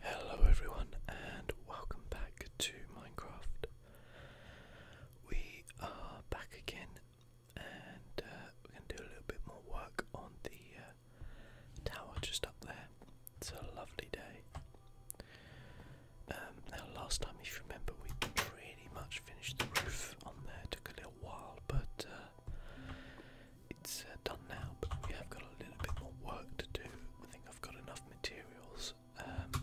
Hello everyone and welcome back to Minecraft. We are back again and uh, we're going to do a little bit more work on the uh, tower just up there. It's a lovely day. Um, now last time if you remember we pretty much finished the roof on there, took a little while but uh, it's uh, done now, but we have got a little bit more work to do. I think I've got enough materials. Um,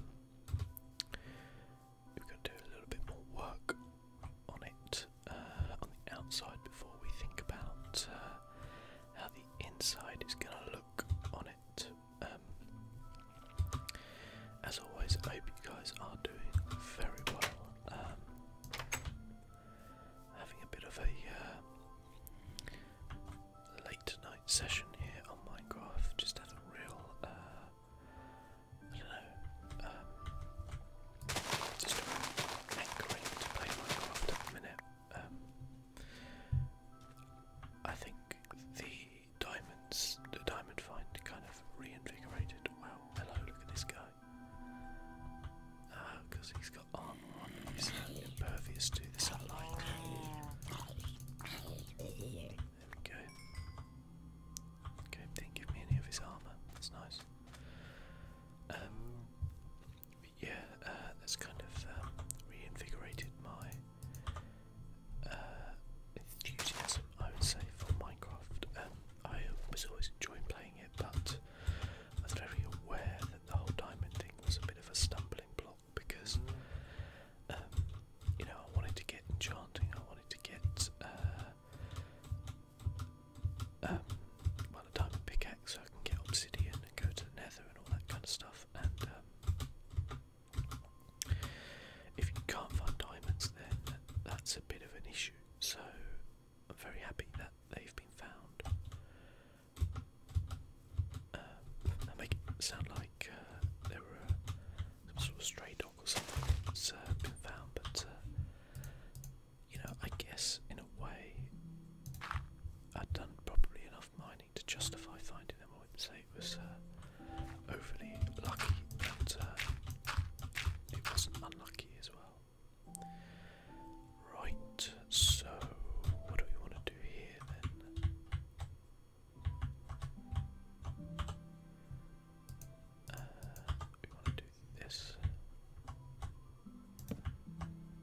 we've got to do a little bit more work on it uh, on the outside before we think about uh, how the inside is going to look on it. Um, as always, I hope you guys are doing very well. Um, having a bit of a late night session here on oh Minecraft. Just had a real, uh, I don't know, um, just anchoring to play Minecraft at minute. Um, I think the diamonds, the diamond find, kind of reinvigorated. Wow, hello, look at this guy. Because uh, he's but aren't obviously impervious to the sunlight. There we go. Okay, didn't give me any of his armour. That's nice. Um, yeah, uh, that's kind of um, reinvigorated my uh, enthusiasm, I would say, for Minecraft. Um, I was always enjoying playing it, but I was very aware that the whole diamond thing was a bit of a stumbling block because, um, you know, I wanted to get enchanting, I wanted to get, uh, um, well, a diamond pickaxe so I can get obsidian and go to the nether and all that kind of stuff. And, um, if you can't find diamonds, then that's a bit of an issue. So, I'm very happy that they've been found um, uh, that make it sound like uh, there were uh, some sort of stray dog or something that's uh, been found, but uh, you know, I guess in a way I'd done probably enough mining to justify finding them. I wouldn't say it was uh, overly lucky, but uh, it wasn't unlucky as well. Right, so what do we want to do here then? Uh, we want to do this.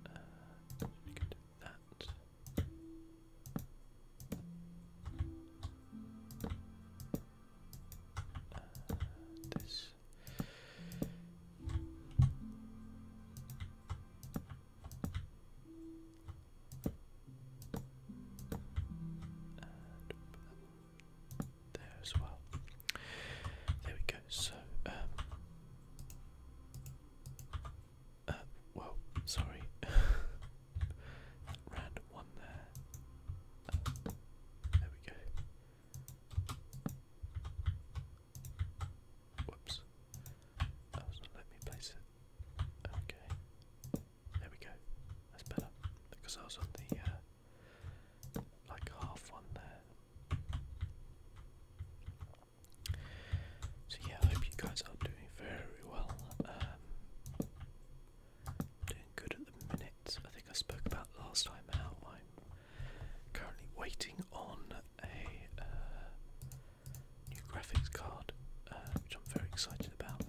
Uh, we can do that. Uh, this. And uh, there as well. There we go. So, um, uh, well, sorry, random one there. Uh, there we go. Whoops. Oh, me place it. Okay. There we go. That's better. Because I was on the, uh, like half one there. So yeah, I hope you guys are doing very well. Um, doing good at the minute. I think I spoke about last time how I'm currently waiting on a uh, new graphics card, uh, which I'm very excited about.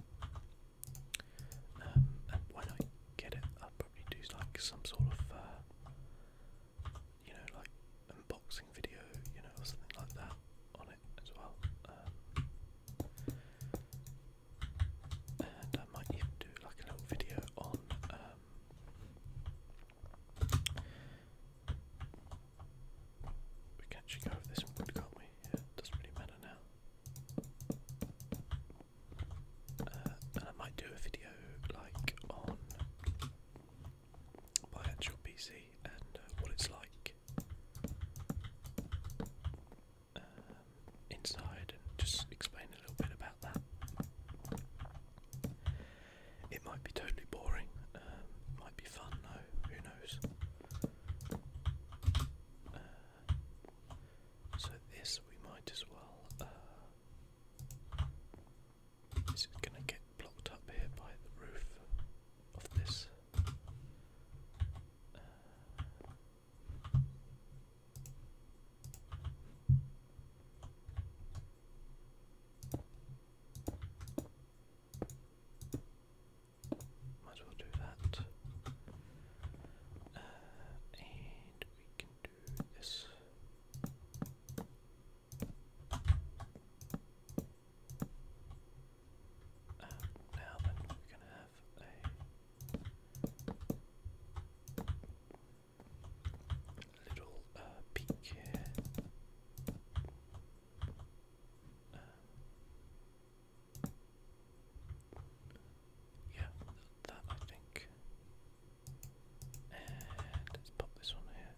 Um, and when I get it, I'll probably do like some sort of, uh, you know, like unboxing video, you know, or something like that on it as well. Um, and I might even do like a little video on um, we can actually go over this wood, can we? Yeah, doesn't really matter now. Uh, I might do a video like on my actual PC and uh, what it's like um, inside and just explain a little bit about that. It might be totally boring, um, might be fun though, who knows. Uh, so this we might as well, uh, this is going to get blocked up here by the roof of this. Might as well do that. Uh, and we can do this. Uh, now then, we're going to have a little uh, peak here. Um, yeah, that I think. And let's pop this one here.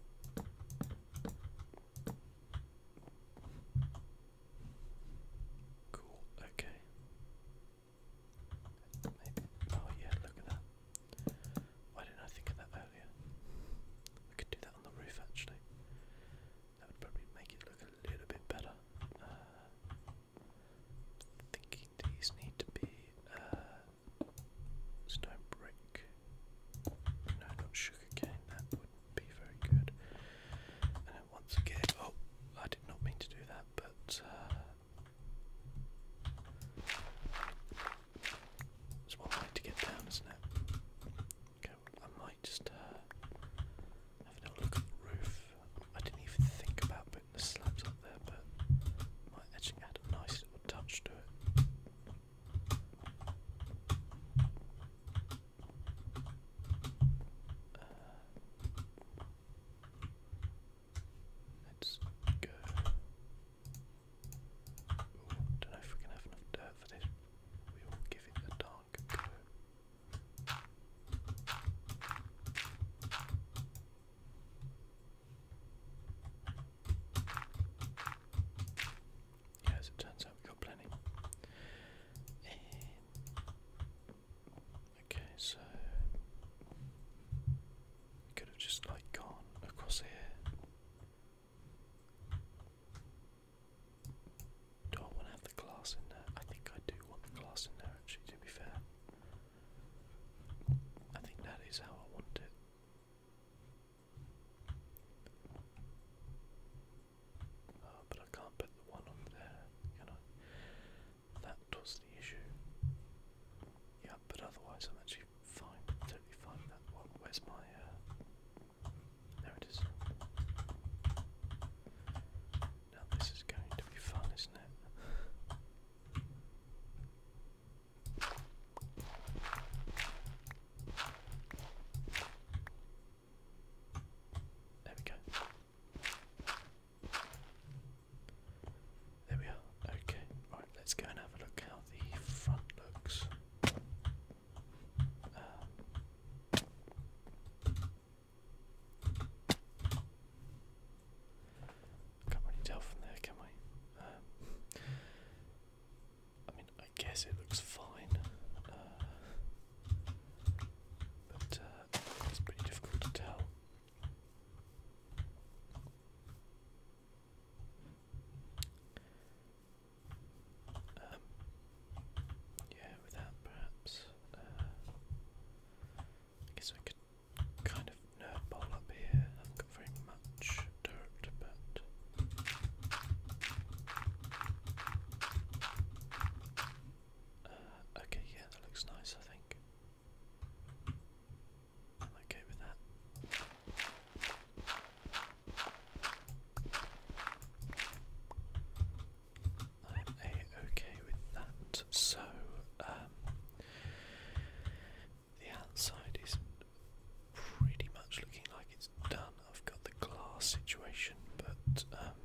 Cool, okay. Oh, yeah, look at that. Why didn't I think of that earlier? I could do that on the roof actually. That would probably make it look a little bit better. Uh, thinking these need to be uh, stone brick. No, not sugarcane. That wouldn't be very good. And once again, oh, I did not mean to do that, but. Uh, there's one way to get down, isn't it? I might just uh, have a look at the roof. I didn't even think about putting the slabs up there, but might actually add a nice little touch to it. Uh, let don't know if we can have enough dirt for this. We will give it a dark go. Yeah, turns out, we've got plenty. Um, okay, so could have just like gone across here do I want to have the glass in there? I think I do want the glass in there, actually, to be fair. I think that is how I want it. Oh, but I can't put the one on there, can I? That was the issue. Yeah, but otherwise I'm actually fine, totally fine with that. one. where's my, uh, there it is. Now this is going to be fun, isn't it? There we go. There we are. Okay, right, let's go and have a look how the front looks. Um, can't really tell from there, can we? Um, I mean, I guess it looks fine, uh, but uh, it's pretty difficult to tell. Um, yeah, with perhaps. Uh, I guess we could kind of nerdball up here. I haven't much dirt, but. Uh, okay, yeah, that looks nice, I think. I'm okay with that. I'm okay with that. So, um, the outside is pretty much looking like it's done. I've got the glass situation, but um,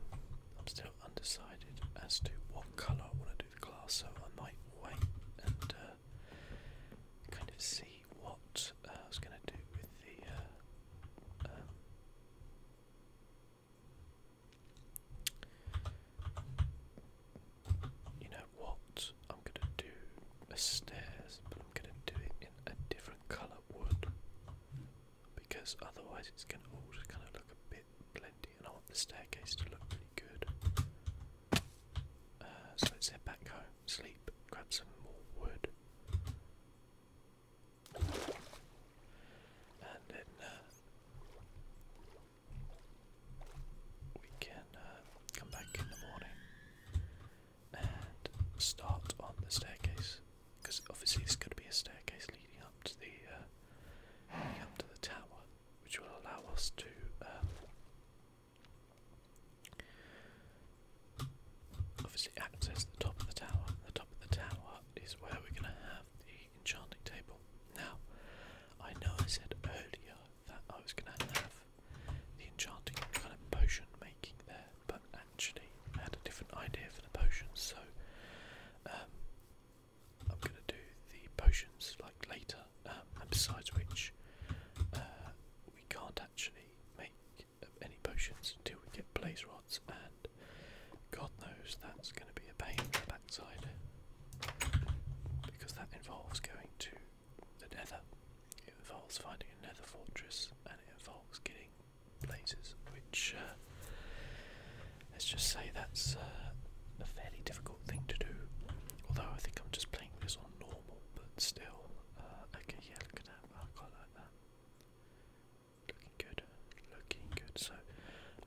I'm still undecided as to what colour I want to do the glass, so I might wait and uh, kind of see what uh, I was going to do with the. Uh, um, you know what? I'm gonna do a stairs, but I'm gonna do it in a different colour wood because otherwise it's gonna all just kind of look a bit blendy, and I want the staircase to look pretty good. Uh, so let's head back home sleep, grab some more wood. And then uh, we can uh, come back in the morning and start on the staircase. Because obviously there's going to be a staircase leading up to the uh, up to the tower, which will allow us to um, Obviously, access the top of the tower. The top of the tower is where we're going to have the enchanting table. Now, I know I said earlier that I was going to have the enchanting kind of potion making there, but actually, I had a different idea for the potions, so um, I'm going to do the potions like later. Um, and besides which, uh, we can't have actually make um, any potions until we get blaze rods, and God knows that's going to be a pain in the backside because that involves going to the nether, it involves finding a nether fortress, and it involves getting blazes, which uh, let's just say that's uh, a fairly difficult thing to do. Although I think I'm just playing this on normal but still. Uh, okay, yeah, look at that. I quite like that. Looking good. Looking good. So,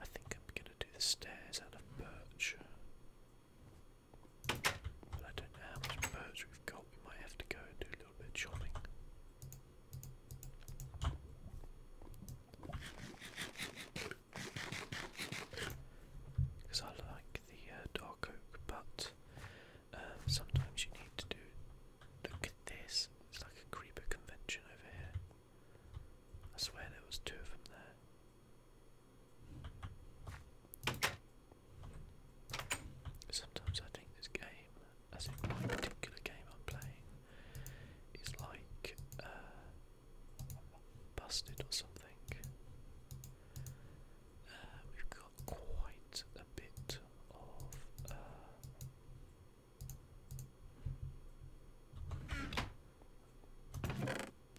I think I'm gonna do the stairs out of birch. But I don't know how much birch we've got. We might have to go and do a little bit of Because I like the uh, our coke, but um, sometimes you need to do. Look at this, it's like a creeper convention over here. I swear there was two of them there. Sometimes I think this game, as in my particular game I'm playing, is like uh, busted or something we've got quite a bit of.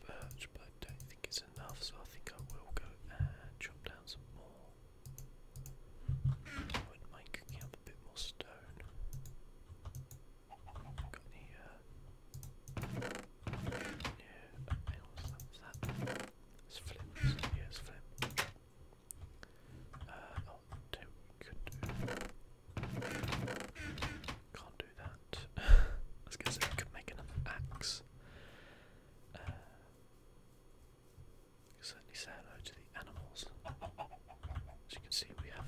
Birch, uh, but don't think it's enough, so I think I will go and chop down some more. I would up a bit more stone. Got any, uh. No, what that? It's flip. flip. Uh, oh, don't, Can't do that. I was gonna could make another axe. Uh, certainly say to the animals. As you can see, we have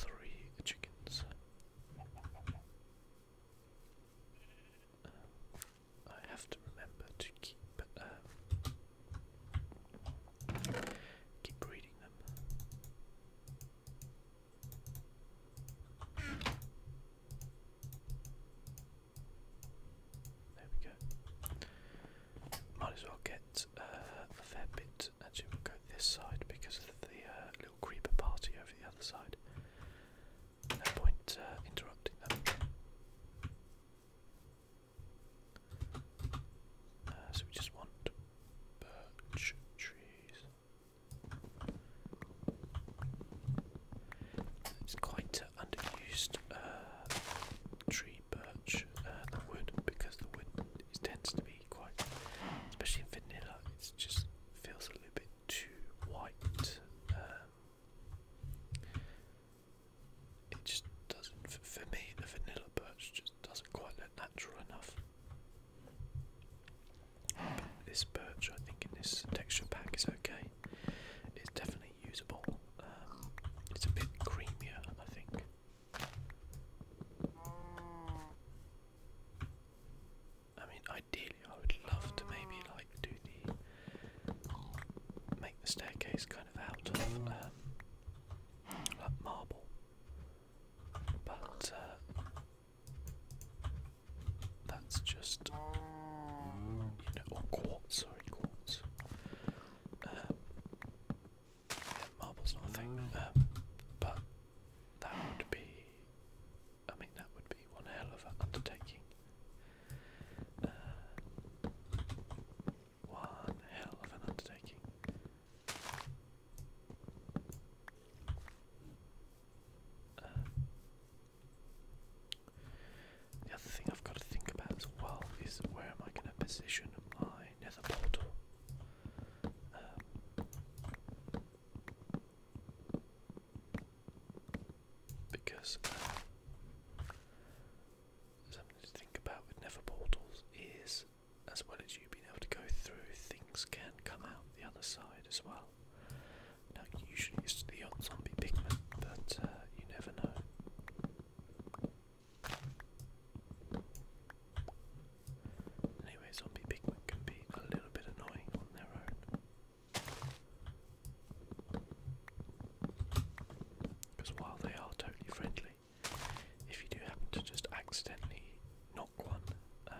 three chickens. Uh, I have to remember to keep um, keep reading them. There we go. Might as well get uh, a fair bit. Actually, go this side because of the uh, little creeper party over the other side. No point uh, interrupting them. Uh, so we just want birch trees. It's quite underused uh, tree birch, the wood, because the wood tends to be quite, especially in vanilla, it just feels a little bit too white. Um, it just doesn't, for me, the vanilla birch just doesn't quite look natural enough. this birch, I think, in this texture pack is okay. It's definitely usable. Um, it's a bit creamier, I think. I mean, ideally, I would love to maybe like do the make the staircase kind of out of um, like marble, but uh, that's just you know or quartz sorry quartz. Um, marble's not a thing, um, but that would be. I mean, that would be one hell of an undertaking. Uh, one hell of an undertaking. Uh, the other thing I've got to think about as well is where am I going to position my nether portal? Um, because uh, something to think about with Never Portals is, as well as you being able to go through, things can come out the other side as well. Now, usually it's the zombie pigment, but uh, you never know. Anyway, zombie pigment can be a little bit annoying on their own. Because while they are totally friendly, if you do happen to just accidentally knock one, uh,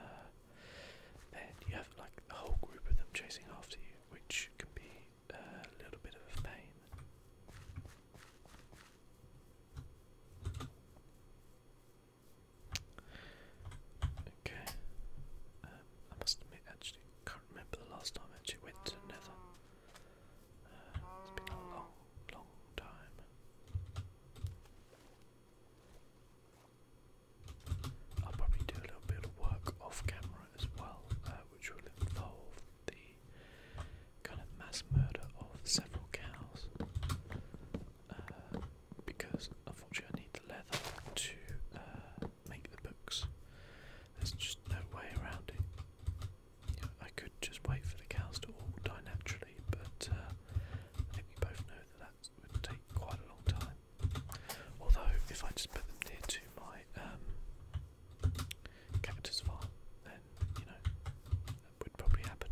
then you have like a whole group of them chasing after you, which can be uh, a little bit of a pain. Okay, um, I must admit, actually, can't remember the last time I actually went to Nether. Uh, it's been a long, long time. I'll probably do a little bit of work off camera as well, uh, which will involve the kind of mass murder of several cows. Uh, because unfortunately, I need the leather to can't make the books. There's just no way around it. You know, I could just wait for the cows to all die naturally, but uh, I think we both know that that would take quite a long time. Although, if I just put them near to my um, cactus farm, then, you know, that would probably happen.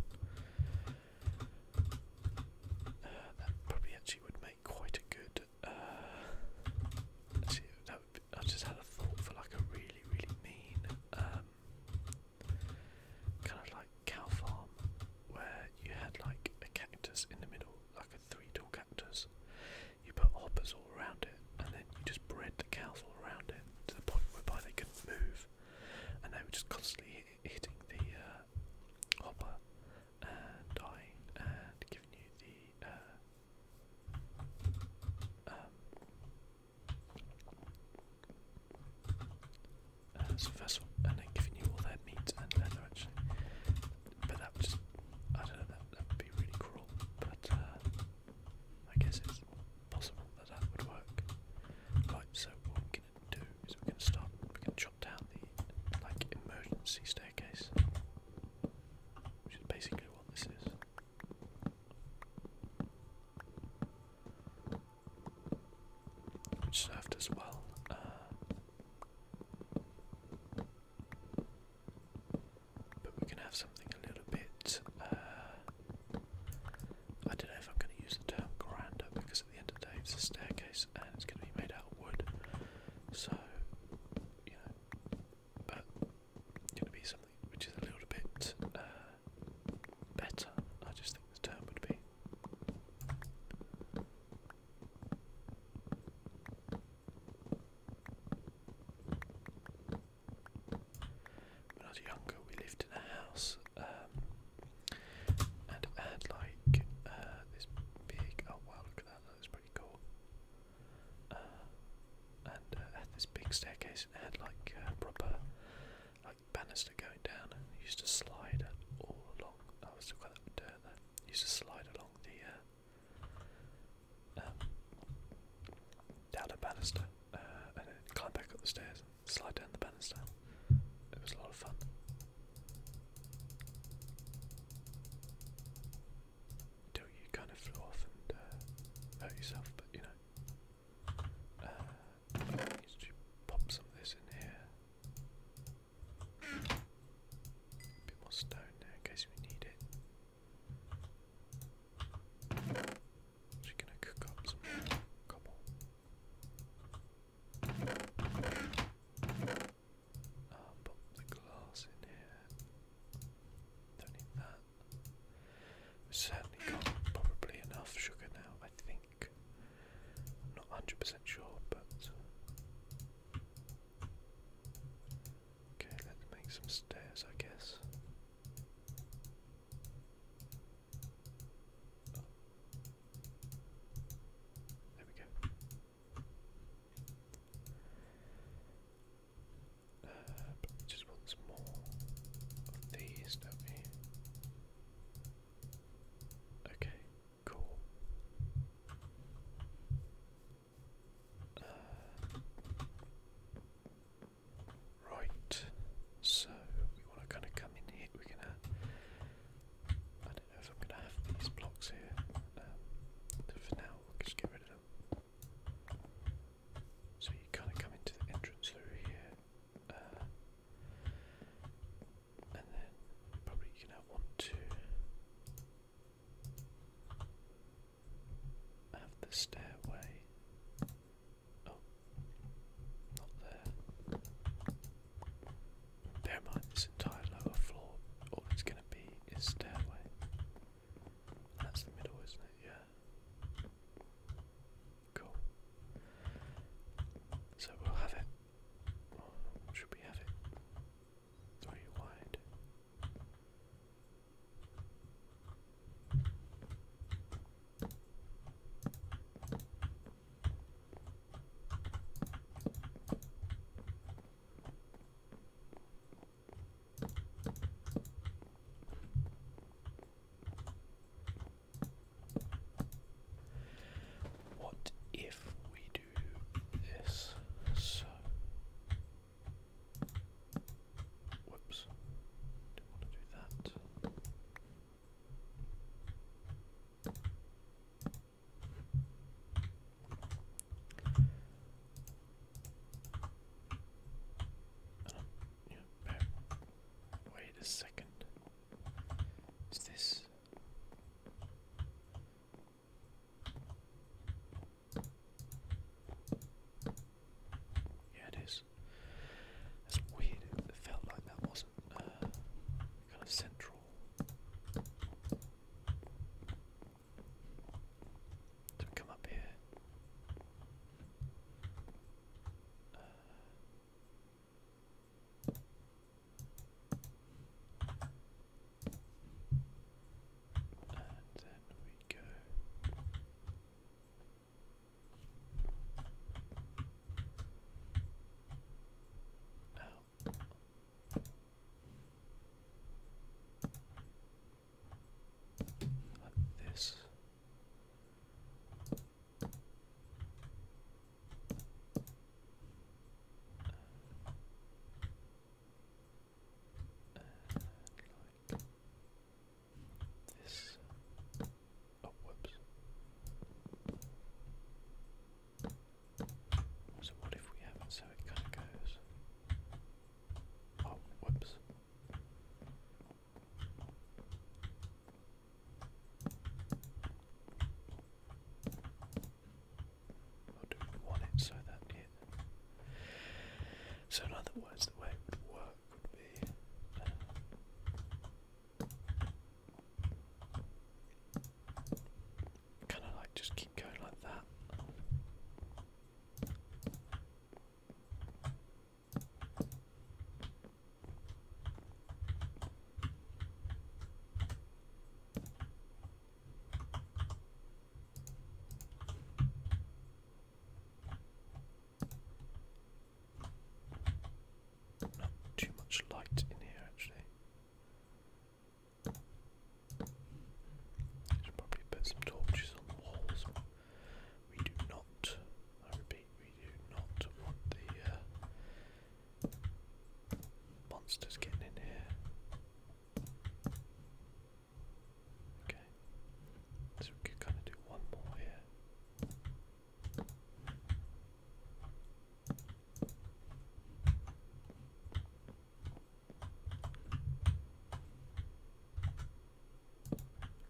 Uh, that probably actually would make quite a good. Uh, see, that would be, I just had a thought for like a really, really mean um, kind of like cow farm where you had like a cactus in the middle, like a three-tall cactus. You put hoppers all around it, and then you just bred the cows all around it to the point whereby they couldn't move, and they were just constantly hit hitting the uh, hopper and dying and giving you the uh, um, uh, so first one, and then giving you all their meat and leather actually, but that just, I don't know, that, that would be really cruel, but uh, I guess it's possible that that would work. Right, so what we're gonna do is we're gonna start, we're gonna chop down the, like, emergency staircase, which is basically what this is. served as well. Uh, but we can have something a little bit. Uh, I don't know if I'm going to use the term grander because at the end of the day it's a staircase and it's going to be made out of wood. So, you know, but gonna be something which is a little bit uh, better. I just think the term would be. When I was younger, we lived in a house um, and had like uh, this big. Oh wow, look at that! that was pretty cool. Uh, and uh, had this big staircase it had like uh, proper like banister going down used to slide all along. Oh, I was still got that dirt used to slide along the um, down the banister and then climb back up the stairs, slide down the banister. It was a lot of fun until you kind of flew off and uh, hurt yourself. But you know, uh, I pop some of this in here. bit more stone there in case we need it. Just gonna cook up some cobble. Um, pop the glass in here. Don't need that. We've certainly got probably enough sugar now, I think. not hundred percent sure, but Okay, let's make some stairs I guess. There we go. Uh, just want some more of these, don't we? Okay, cool. Uh, right, so we want to kind of come in here. We're gonna. I don't know if I'm gonna have these blocks here. Um, for now, we'll just get rid of them. So you kind of come into the entrance through here, uh, and then probably you can have one, two. Have the stairway. Oh, not there. Bear in mind, this entire lower floor, all it's going to be is stairway. That's the middle, isn't it? Yeah. Cool. So we'll have it. should we have it? Three wide. What if we do this? whoops, didn't want to do that. Wait a second. Is this? Yeah, it is. That's weird. It felt like that wasn't uh, kind of central. So we come up here. and then we go. Now this. this. Oh, whoops. So, what if we have it so it kind of goes Oh, will do one it so that it. So, in other words, the way it would work would be. Uh, kind of like just keep going like that. Not too much light in here, actually. Should probably put some torches on the walls. We do not, I repeat, we do not want the uh, monsters getting in here. Okay, so we could kind of do one more here.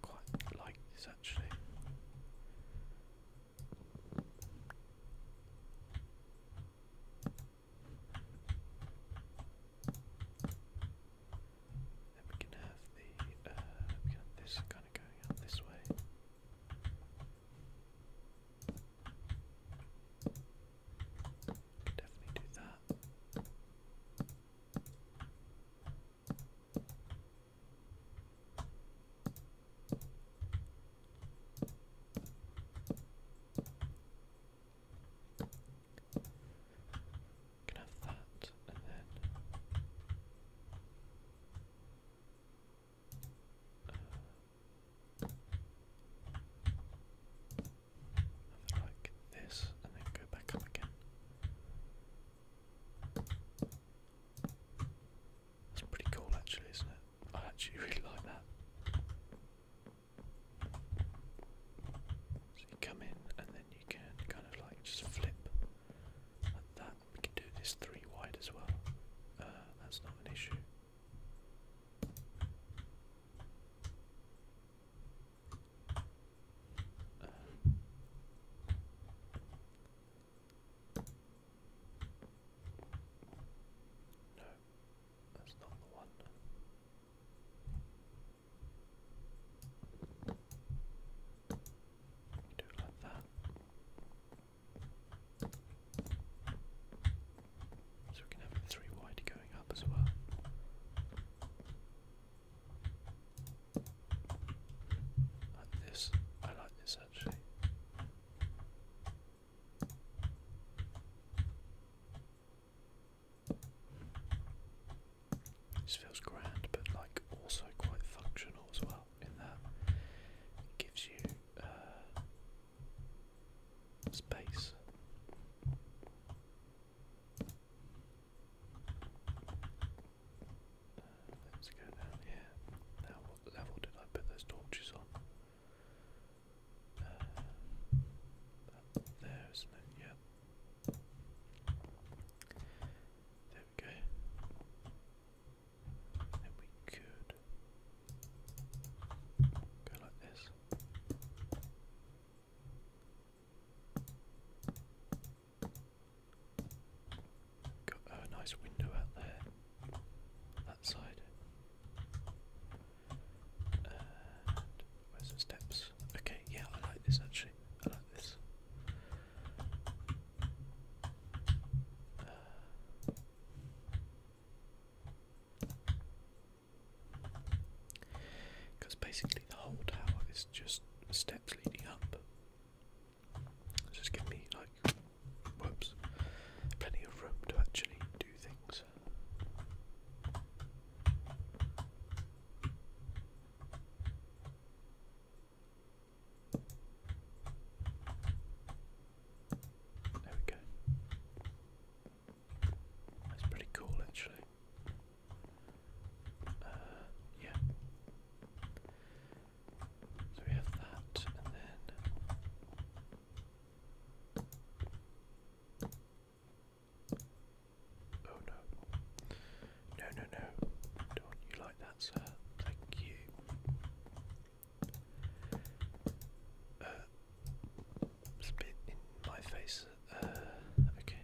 Quite like this actually. Then we can have the uh, this kind of going out this way. Definitely do that. Can have that and then uh, like this, and then go back up again. That's pretty cool, actually, isn't it? I actually really like that. So you come in, and then you can kind of like just flip like that. We can do this three wide as well. Uh, that's not an issue. No, that's not the one. do that. So we can have three wide going up as well. Like this. I like this actually. This feels grand, but like also quite functional as well. In that, it gives you uh, space. Let's go down here. Now, what level did I put those torches on? Uh, there, isn't it? There we go. And we could go like this. Got a nice window out there, that side. where's the steps? Okay, yeah, I like this actually. I like this. Uh, because basically the whole tower is just steps leading up. just give me like, whoops, plenty of room to actually do things. There we go. That's pretty cool, actually. Uh, yeah. So we have that, and then. Oh no. No, no, no. Don't you like that, sir? Thank you. Uh, spit in my face. Uh, okay.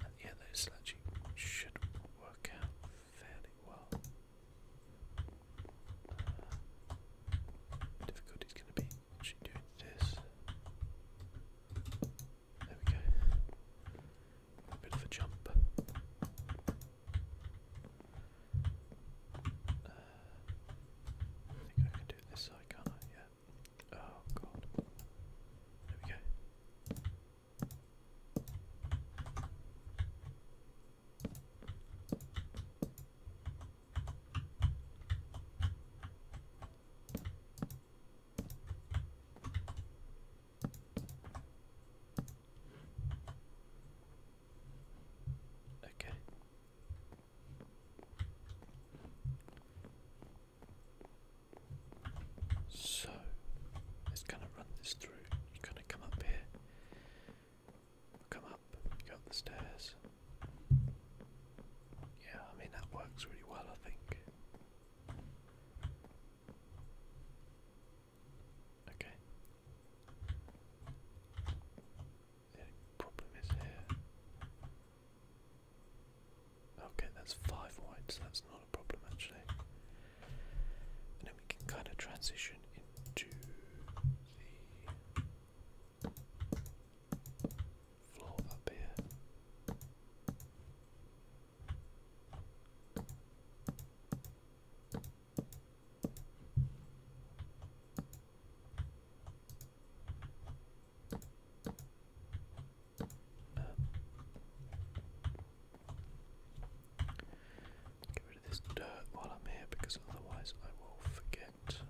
And yeah, those actually should work out fairly well. Uh, difficulty's going to be actually doing this. There we go. A bit of a jump. Uh, I think I can do this side, Yeah that. Oh god. There we go. Okay. So it's gonna run this through. You are gonna come up here, come up, go up the stairs. Yeah, I mean, that works really well, I think. Okay. The problem is here. Okay, that's five whites. that's not a problem actually. And then we can kind of transition into the floor up here. Get rid of this dirt while I'm here because otherwise I will forget.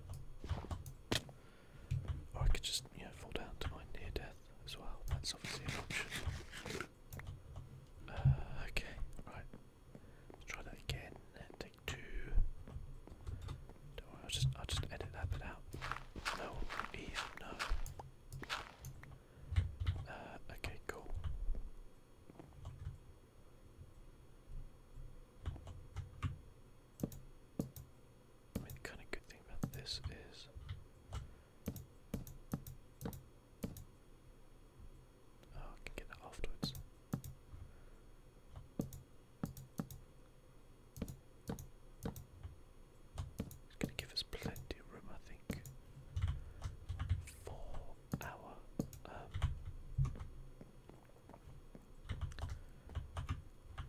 Or I could just, you know, fall down to my near death as well. That's obviously an option. Uh, okay, right. Let's try that again. Take two. Don't worry, I'll just I'll just edit that bit out. No, E, no. Uh, okay, cool. the kind of good thing about this is. Oh, I can get that afterwards. It's going to give us plenty of room, I think, for our um,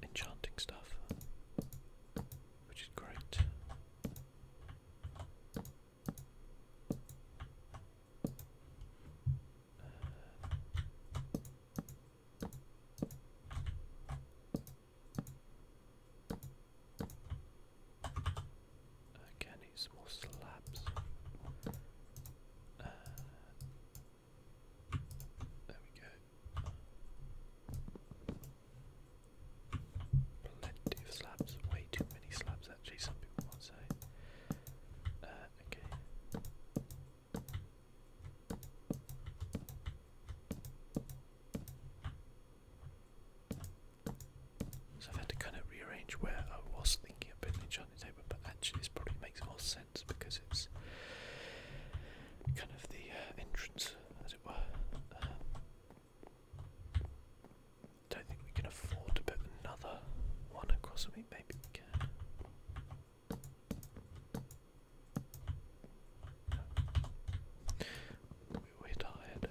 enchanting stuff, which is great. Uh, Okay, I more slabs. Uh, there we go. Plenty of slabs, way too many slabs actually, some people might say. Uh, okay. So i had to kind of rearrange where I was thinking of putting it on the table, but actually it probably makes more sense because it's kind of the uh, entrance, as it were. Um, don't think we can afford to put another one across. I mean, maybe we can. We are tired.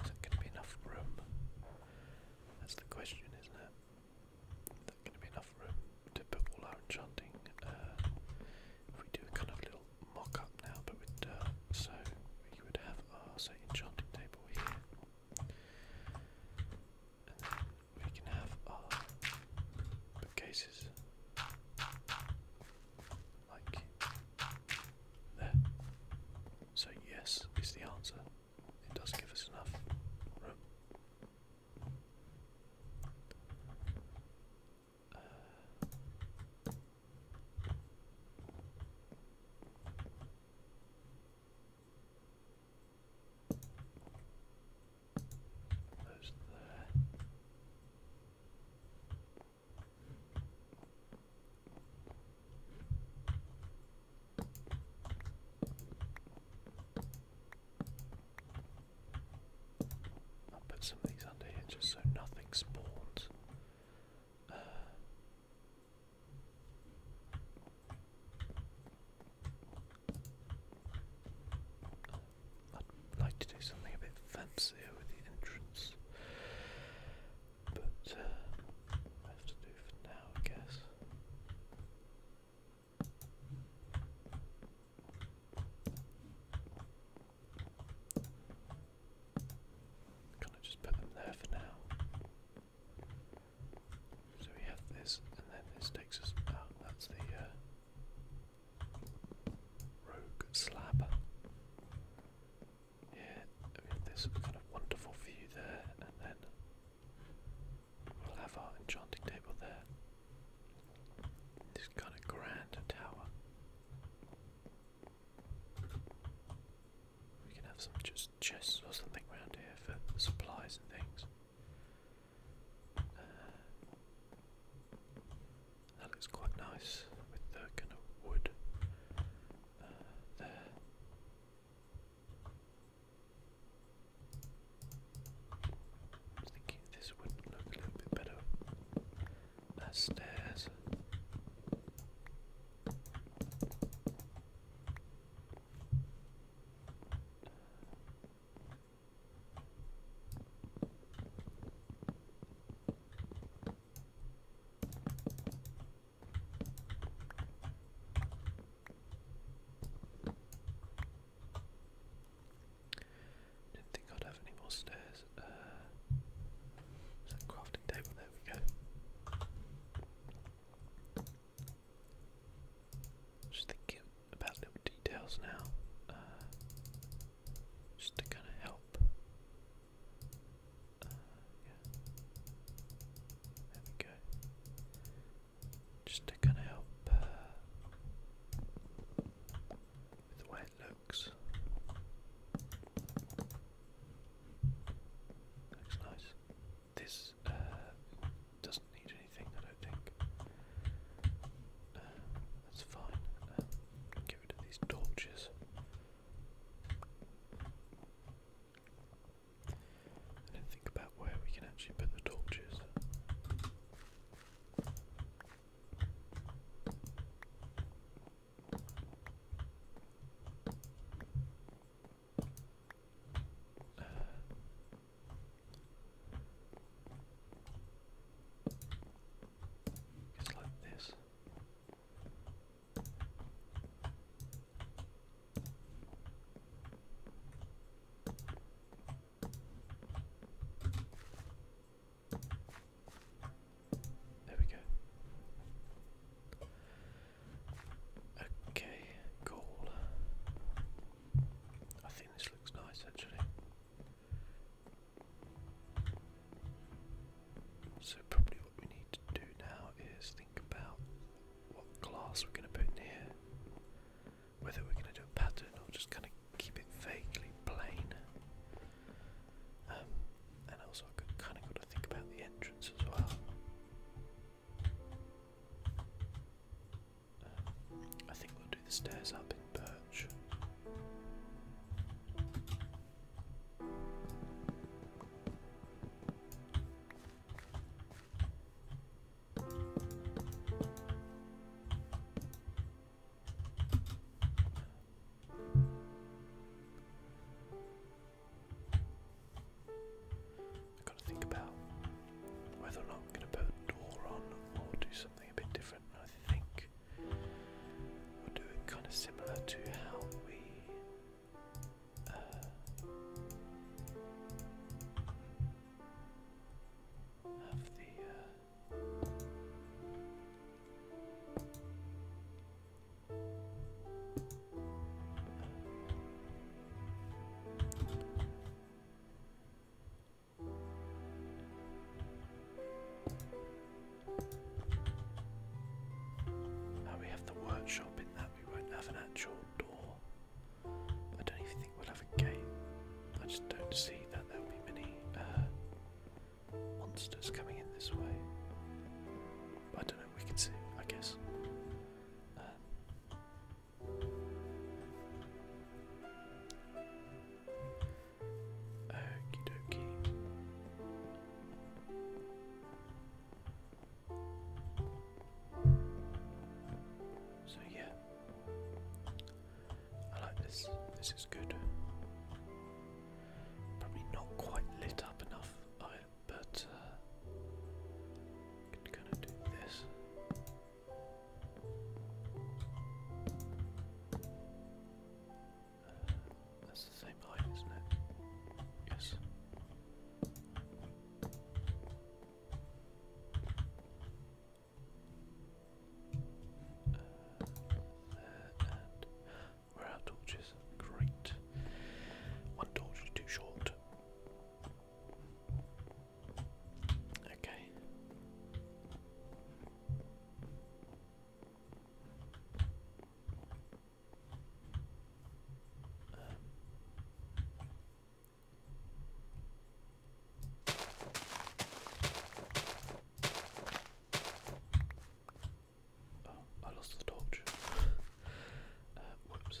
Is it going to be enough room? That's the question, isn't it? Is there going to be enough room to put all our enchanting? Uh, if we do kind of little mock up now, but with uh, so we would have our, say, enchanting table here we can have our uh, bookcases like there. So, yes, is the answer. It does give us enough room. Uh, I'll put some of these under here just so nothing spawns. Uh, I'd like to do something a bit fancier with the entrance, but uh, have to do for now, I guess. Can I just put them there for now? So we have this, and then this takes us. Ah, that's the uh, rogue slab. Yeah, we have this kind of wonderful view there, and then we'll have our enchanting table there. This kind of grand tower. We can have some just chests or something around here for supplies and things. Uh, that looks quite nice with the kind of wood uh, there. I was thinking this would look a little bit better as stairs. Didn't think I'd have any more stairs. Uh, crafting table? There we go. Just thinking about little details now, uh, just to kind of help. Uh, there we go. Just to kind of help uh, with the way it looks. Looks nice. This uh, doesn't need anything, I don't think. Uh, that's fine. Uh, get rid of these torches. And then think about where we can actually put the torches just like this. There we go. Okay, cool. I think this looks nice actually. So, probably what we need to do now is think about what glass we're going to put in here. Whether we're going to do a pattern or just kind of keep it vaguely plain. Um, and also, I've kind of got to think about the entrance as well. I think we'll do the stairs up in Birch. I've got to think about whether or not I'm going to put a door on or do something a bit different. I think we are doing kind of similar to how we. Uh, have the uh, now we have the workshop in that we won't have an actual door. I don't even think we'll have a gate. I just don't see that there'll be many uh, monsters coming in this way. I don't know, we can see, I guess. Uh, Okie dokie. So yeah, I like this. This is good. Probably not quite lit up enough but uh, I can kind do this. Uh, that's the same height, isn't it? Yes. Uh, and where are our Great. One torch is too short. Okay. Uh, oh, I lost the torch. Uh, whoops.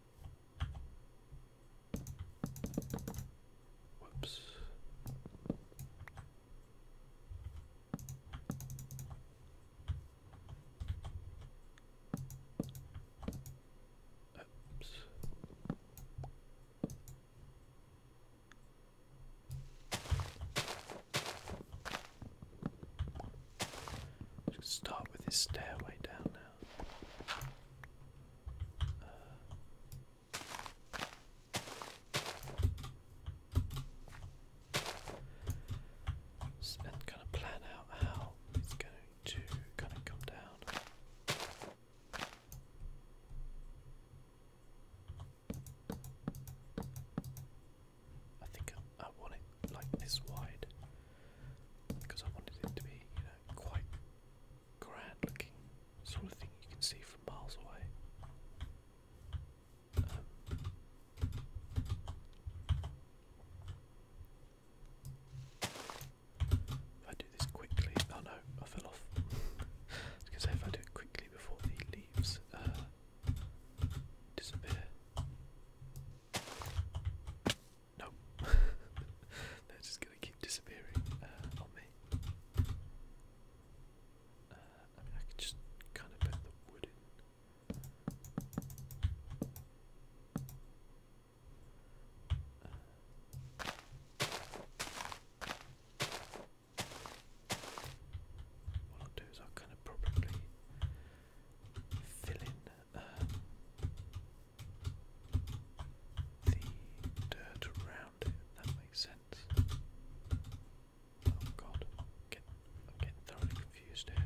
Whoops. Oops. Just start with this stairway down now. Uh, kind of plan out how it's going to kind of come down. I think I, I want it like this wide because I wanted it to be, you know, quite grand looking, sort of thing you can see from miles away. Um, if I do this quickly, oh no, I fell off. I if I do it quickly before the leaves uh, disappear. Nope. They're just going to keep disappearing uh, on me. Uh, I mean, just kind of put the wood in. Uh, what I'll do is I'll kind of probably fill in uh, the dirt around it. That makes sense. Oh god, I'm getting, thoroughly confused here.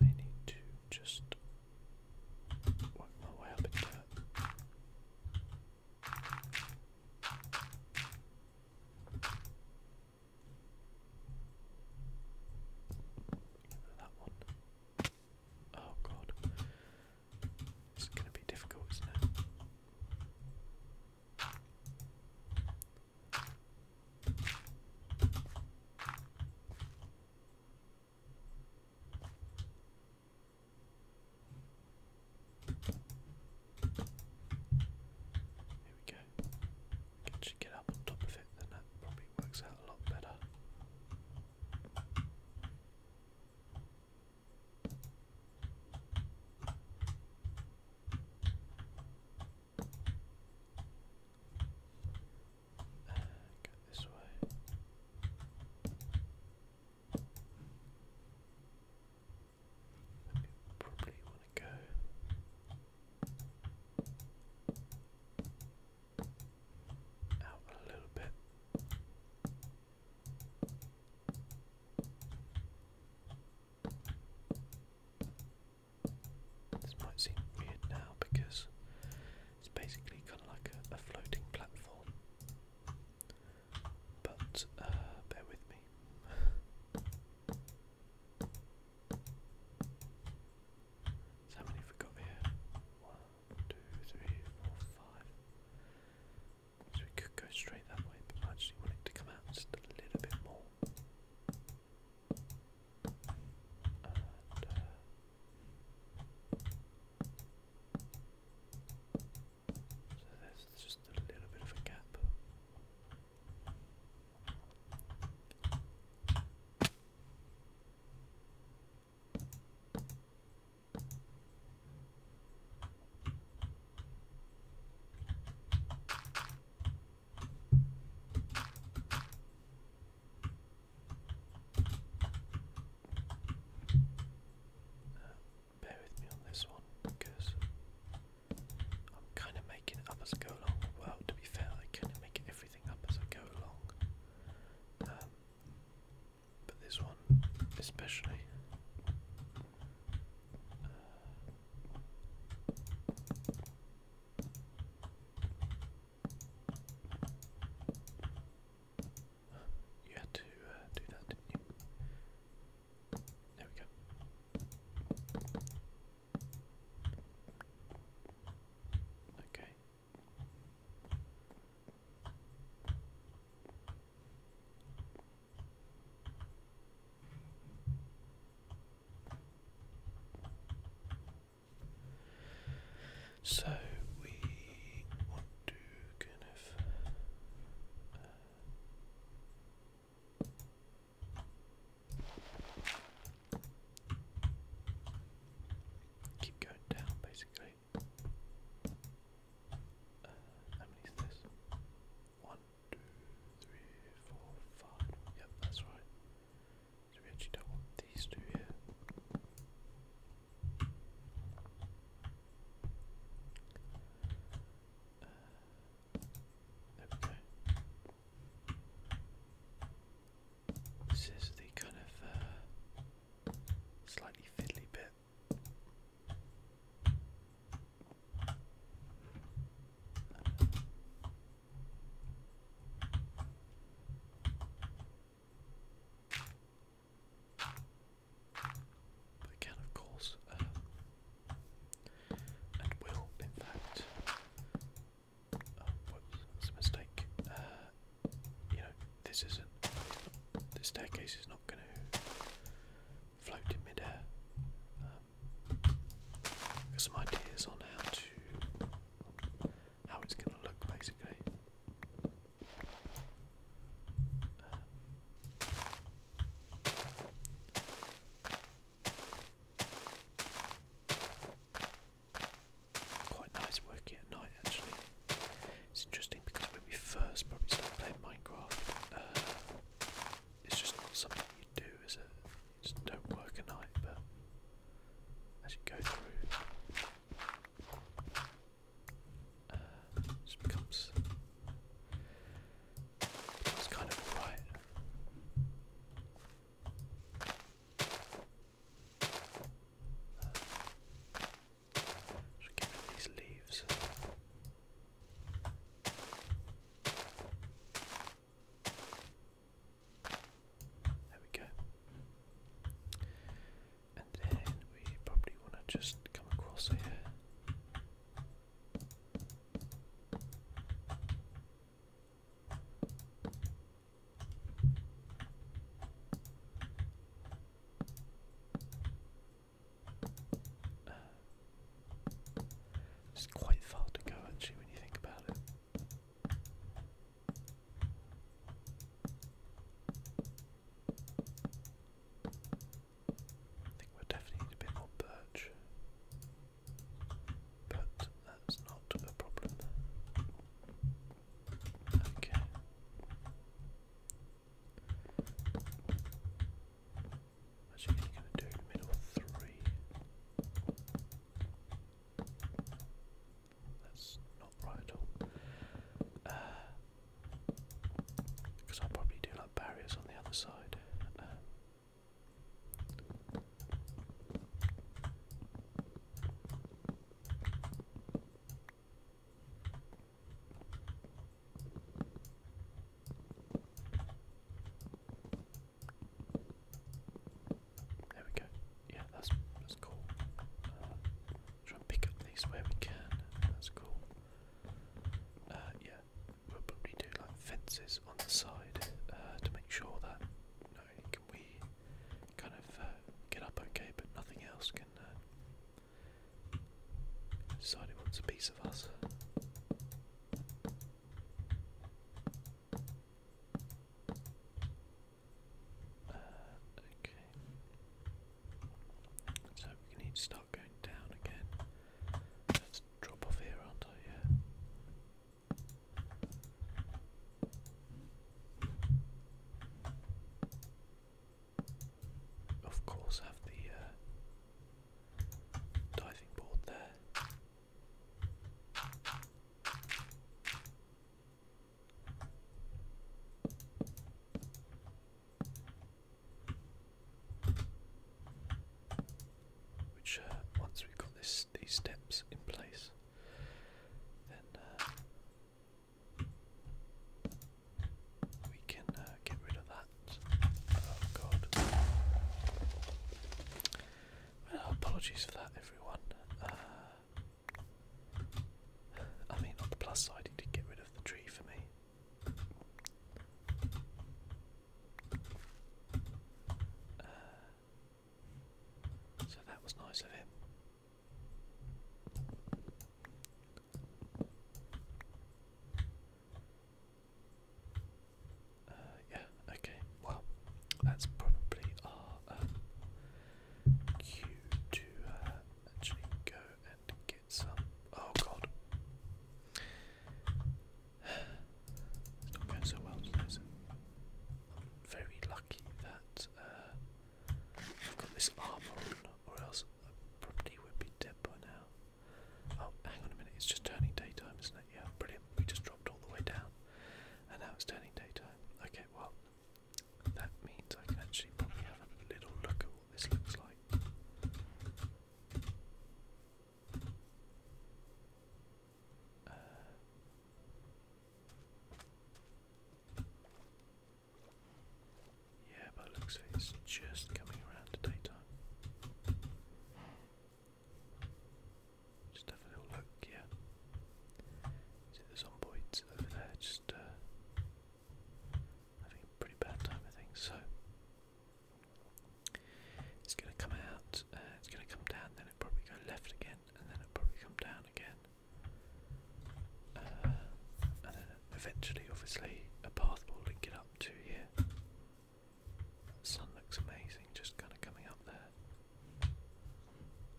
I need to just work my way up that one. Oh god. It's gonna be difficult, Here we go. Actually get up on top of it, then that probably works out a lot better. go this way. Probably want to go. Out a little bit. This might seem weird now because it's basically kind of like a, floating platform. But uh, bear with me. So how many have we got here? One, two, three, four, five. So we could go straight that way, but I actually want it to come out just a little bit more. Uh, so there's just a little bit of a gap. Uh, bear with me on this one because I'm kind of making it up as I go along. Well, to be fair, I kind of make everything up as I go along. Um, but this one, especially. Uh, you had to uh, do that, didn't you? There we go. Okay. So we want to kind uh, Keep going down, basically. Uh, how many is this? One, two, three, four, five. Yep, that's right. So we actually do these two here. Uh, this is the kind of uh, slightly fiddly bit. again, of course, uh, and will impact. Oh, whoops, a mistake. Uh, you know, this isn't. This staircase is not going to float in midair. Um, some ideas on how to, how it's going to look, basically. Uh, Quite nice working at night actually. It's interesting because when we first probably started playing Minecraft, uh, it's just not something you do, is it? just don't work at night, but as you go through, uh, just becomes it's kind of alright. Should these leaves. There we go. And then we probably want to just come across here. Uh, it's quite far to go actually when you think about it. I think we definitely need a bit more birch. But that's not a problem. Okay. Actually, going to do middle three. That's not right at all. Because uh, I'll probably do like barriers on the other side. Um, there we go. Yeah, that's that's cool. Uh, try and pick up these where we can. That's cool. Uh, yeah, We'll probably do like fences on the side uh, to make sure that not we kind of uh, get up okay, but nothing else can uh, decide it wants a piece of us. okay. So we need to start going down again. us drop off here, aren't I? Yeah. Of course, have the uh, diving board there. Which uh, once we've got this these steps in place, then uh, we can uh, get rid of that. Oh God! apologies for that, everyone. I mean, on the plus side, he did get rid of the tree for me. Uh, so that was nice of him. Uh, yeah, okay, well, that's probably our um, to uh, actually go and get some. Oh god it's not going so well today, is Very lucky that uh, I've got this armor or else I probably would be dead by now. Oh, hang on a minute, it's just turning daytime, isn't it? Yeah, brilliant. We just dropped all the way down, and now it's turning daytime. Okay, well, that means I can actually probably have a little look at what this looks like. Uh, yeah, but looks like it's just coming around to daytime. Just have a little look, yeah. See the zomboids over there, just uh, having a pretty bad time, I think, so it's going to come out, uh, it's going to come down, then it'll probably go left again, and then it'll probably come down again. Uh, and then eventually, obviously, a path will link it up to here. The sun looks amazing, just kind of coming up there.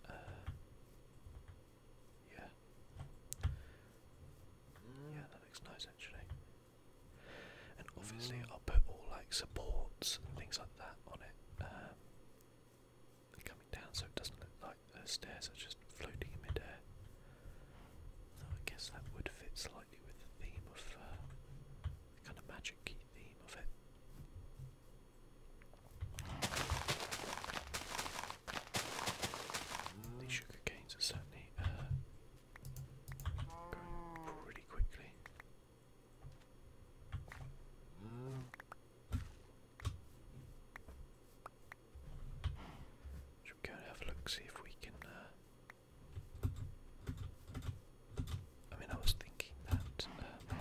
Uh, yeah. Yeah, that looks nice actually. And obviously I'll put all like supports and things like that on it. Um, coming down so it doesn't look like the stairs are just floating in midair. Though I guess that would fit slightly with the theme of uh, kind of magic theme of it. These sugar canes are certainly uh, pretty quickly. Should have a look, see if we can. Uh, I mean, I was thinking that. Um...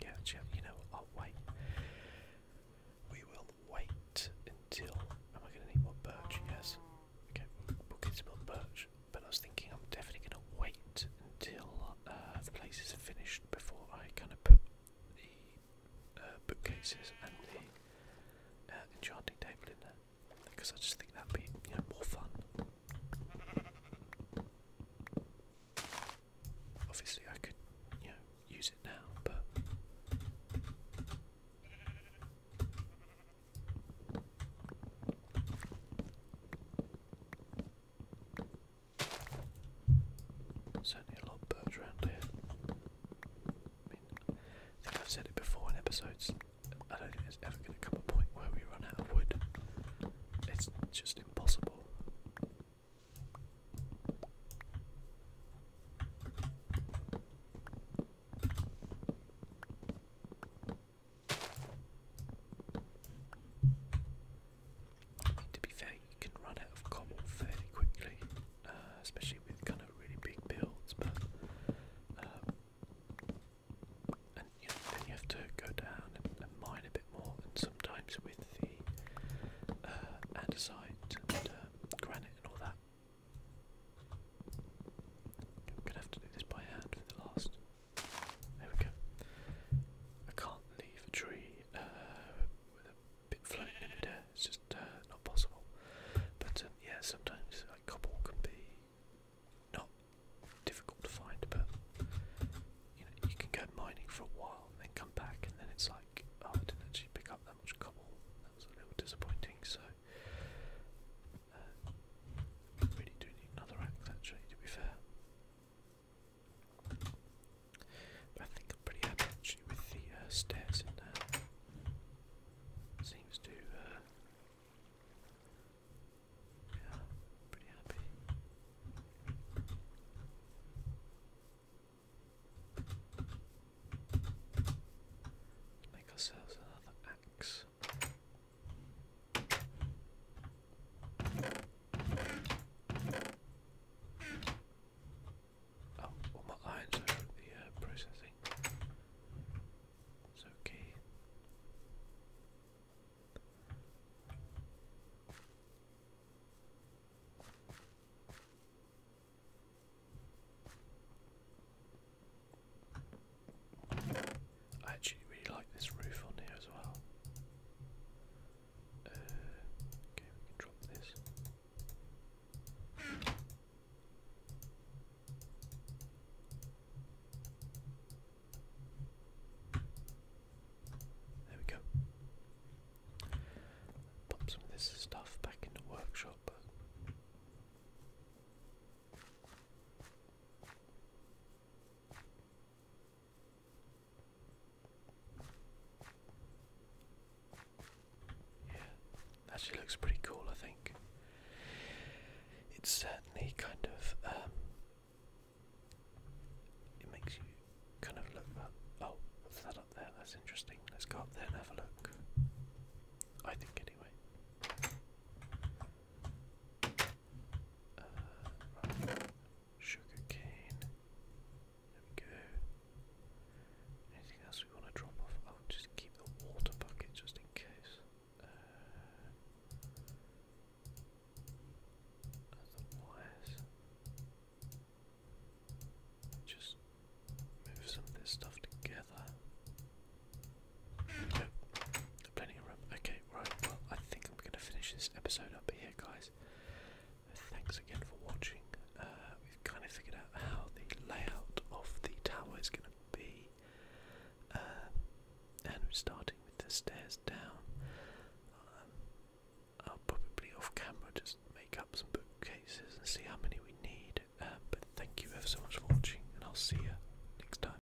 Yeah, you know, i wait. We will wait until. Am I going to need more birch? Yes. Okay, book is on Birch, but I was thinking I'm definitely going to wait until uh, the places are finished before I kind of put the uh, bookcases and the uh, enchanting table in there, because I just think that'd be you know, more fun. Obviously, I could you know use it now, but. Certainly a lot of birds around here. I mean, I think I've said it before in episodes. I don't think it's ever going to come a point where we run out of wood. It's just impossible. I to be fair, you can run out of common fairly quickly, uh, especially with kind of really big builds. But um, and then you have to go down and, mine a bit more. And sometimes with the uh, andesite and um, granite and all that, I'm gonna have to do this by hand for the last there we go. I can't leave a tree uh, with a bit floating in the It's just uh, not possible. But um, yeah, sometimes like cobble can be not difficult to find, but you know you can go mining for a while and then come back, and then it's like oh, I didn't actually pick up that much cobble. That was a little disappointing. So really do need another axe actually, to be fair. But I think I'm pretty happy with the uh, stairs in there. Seems to, uh, yeah, pretty happy. Make ourselves another axe. Oh, all my are the uh, processing. It's okay. I actually really like this roof on here as well. Uh, okay, we can drop this. There we go. Pop some of this stuff back in workshop. Yeah, actually looks pretty cool, I think. It's certainly kind of, um, it makes you kind of look Oh, what's that up there? That's interesting. Let's go up there and have a look. I think, anyway. Uh, Sugar cane. There Anything else we want to drop off? I'll just keep the water bucket just in case. Uh, otherwise, just move some of this stuff together. Plenty of room. Okay, right. Well, I think I'm going to finish this episode up here, guys. Thanks again for watching. Uh, we've kind of figured out how the layout of the tower is going to be. Uh, and we're starting with the stairs down. Um, I'll probably off camera just make up some bookcases and see how many we need. Uh, but thank you ever so much for watching, and I'll see you next time.